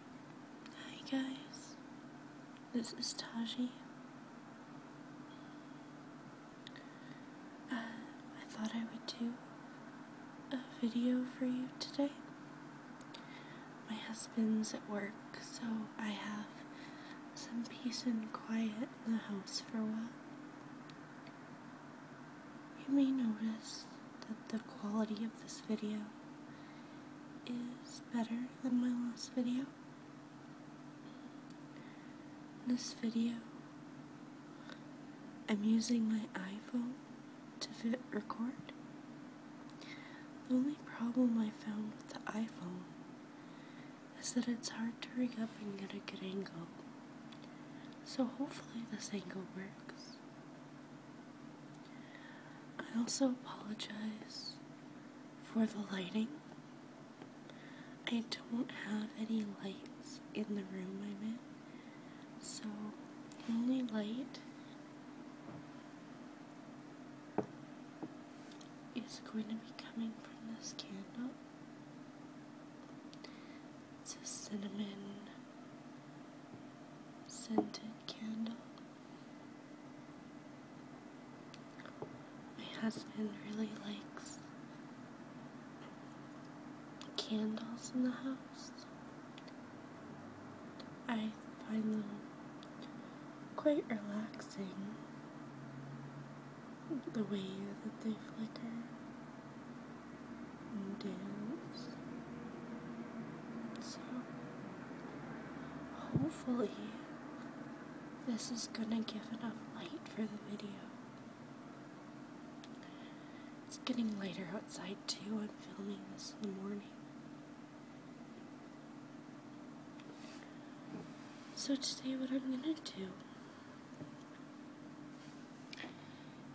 Hi guys, this is Taji. Uh, I thought I would do a video for you today. My husband's at work, so I have some peace and quiet in the house for a while. You may notice that the quality of this video is better than my last video. this video, I'm using my iPhone to record. The only problem I found with the iPhone is that it's hard to rig up and get a good angle. So hopefully this angle works. I also apologize for the lighting. I don't have any lights in the room I'm in, so the only light is going to be coming from this candle. It's a cinnamon scented candle. My husband really likes candles in the house. I find them quite relaxing the way that they flicker and dance. So, hopefully, this is gonna give enough light for the video. It's getting lighter outside too. I'm filming this in the morning. So today what I'm going to do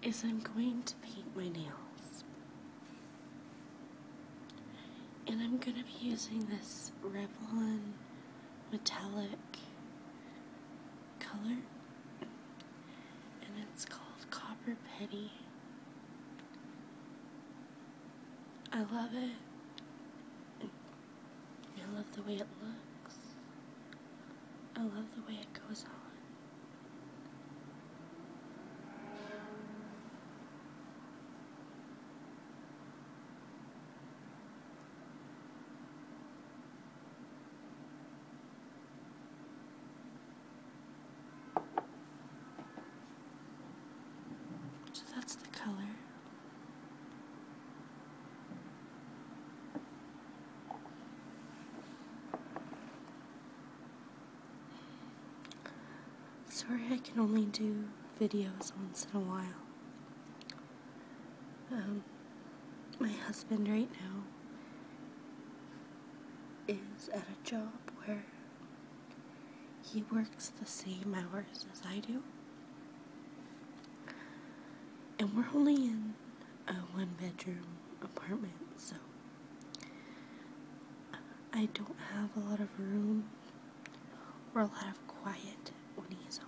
is I'm going to paint my nails. And I'm going to be using this Revlon metallic color. And it's called Copper Penny. I love it. I love the way it looks. I love the way it goes on. So that's the color. Sorry, I can only do videos once in a while. Um, my husband right now is at a job where he works the same hours as I do. And we're only in a one bedroom apartment, so I don't have a lot of room or a lot of quiet when he is home.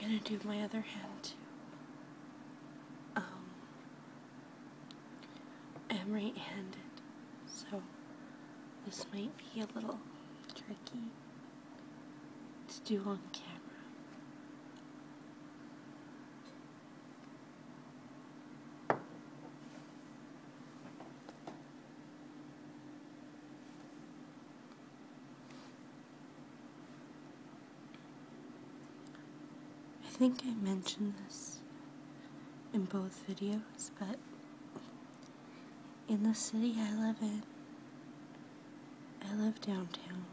I'm gonna do my other hand too. Um, I'm right-handed, so this might be a little tricky to do on camera. I think I mentioned this in both videos, but in the city I live in, I live downtown.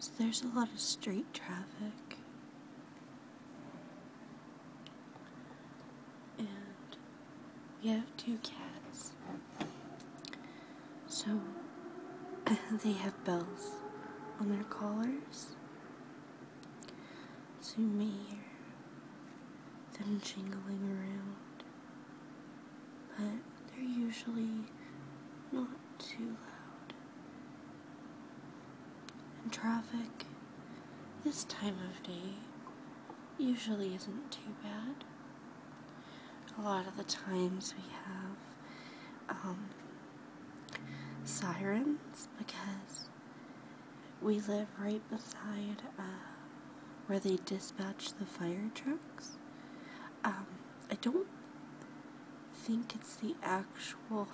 So there's a lot of street traffic. And we have two cats. So they have bells on their collars. So you may hear them jingling around. But they're usually not too loud. And traffic this time of day usually isn't too bad. A lot of the times we have um, sirens because we live right beside uh, where they dispatch the fire trucks. Um, I don't think it's the actual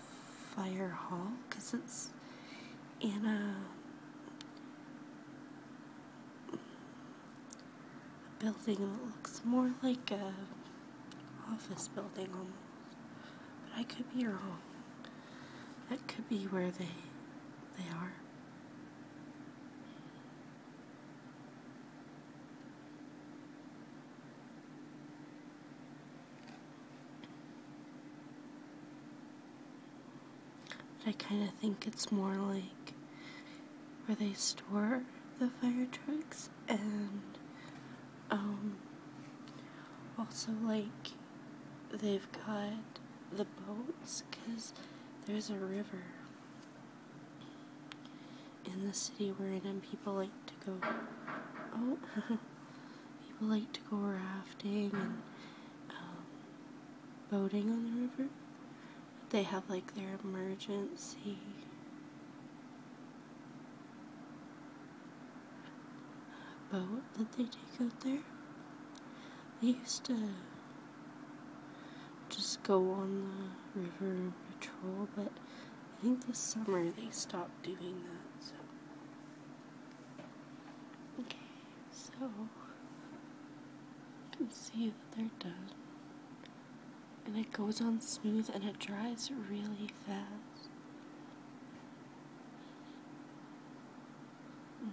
fire hall because it's in a, building that looks more like a office building almost. But I could be wrong. That could be where they they are. I kind of think it's more like where they store the fire trucks and um, also like they've got the boats because there's a river in the city we're in, and people like to go. Oh, people like to go rafting and um, boating on the river. They have like their emergency. boat that they take out there. They used to just go on the river patrol, but I think this summer they stopped doing that, so. Okay, so you can see that they're done. And it goes on smooth and it dries really fast.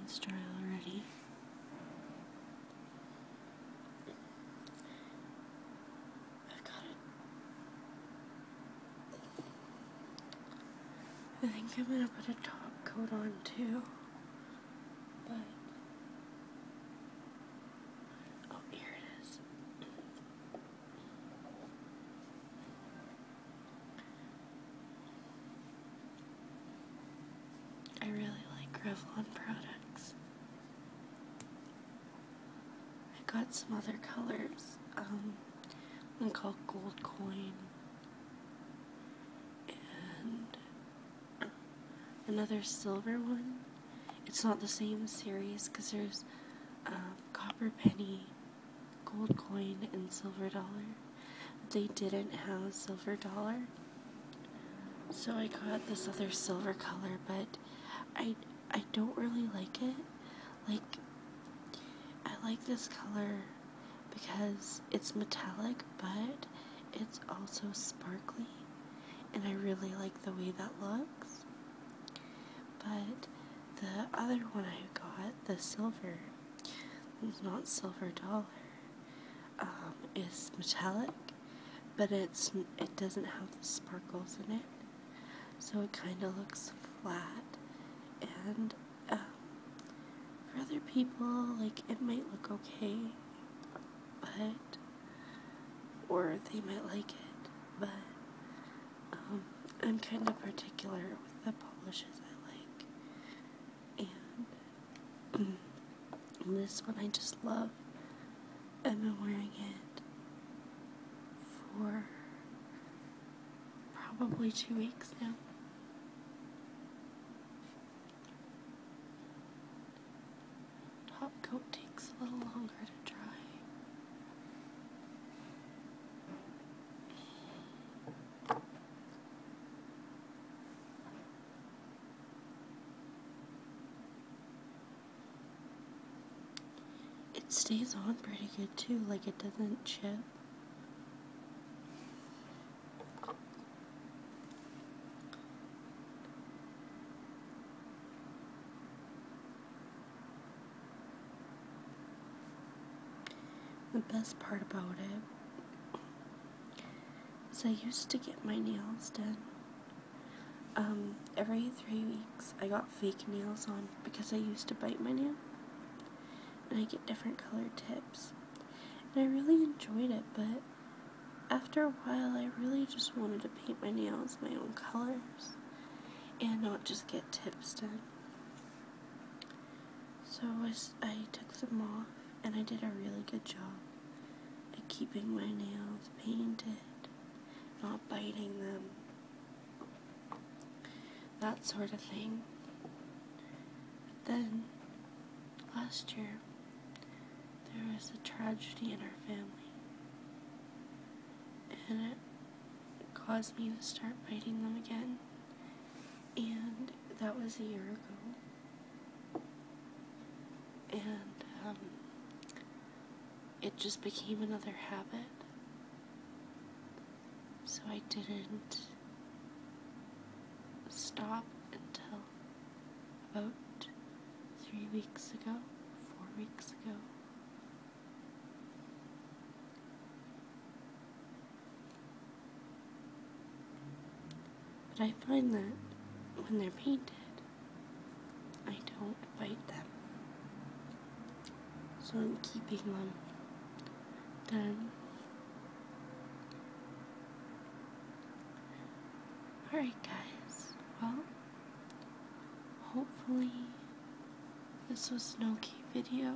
It's dry already i think I'm gonna put a top coat on too. But oh, here it is. I really like Revlon products. I got some other colors. Um, one called Gold Coin. And another silver one. It's not the same series because there's um, Copper Penny, Gold Coin, and Silver Dollar. They didn't have Silver Dollar. So I got this other silver color, but I I don't really like it. Like I like this color because it's metallic, but it's also sparkly, and I really like the way that looks. But the other one I got, the silver, it's not silver dollar, um, is metallic, but it's it doesn't have the sparkles in it, so it kind of looks flat. And um, for other people, like it might look okay, but or they might like it, but um, I'm kind of particular with the polishes I like, and Mm. this one I just love. I've been wearing it for probably two weeks now. Top coat takes a little longer to dry. It stays on pretty good too, like it doesn't chip. The best part about it so I used to get my nails done. Um, every three weeks I got fake nails on because I used to bite my nail. And I get different colored tips. And I really enjoyed it, but after a while I really just wanted to paint my nails my own colors and not just get tips done. So I, took them off and I did a really good job at keeping my nails painted, not biting them, that sort of thing. then, last year, there was a tragedy in our family, and it caused me to start biting them again, and that was a year ago. And um, it just became another habit. So I didn't stop until about three weeks ago, four weeks ago. But I find that when they're painted, I don't bite them. So I'm keeping them done. Alright guys, well, hopefully this was an okay video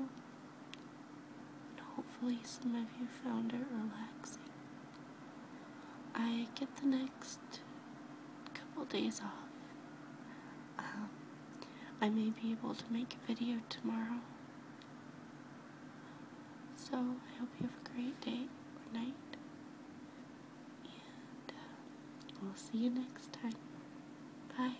hopefully, some of you found it relaxing. I get the next couple days off. Um, I may be able to make a video tomorrow. So, I hope you have a great day or night. And uh, we'll see you next time. Bye.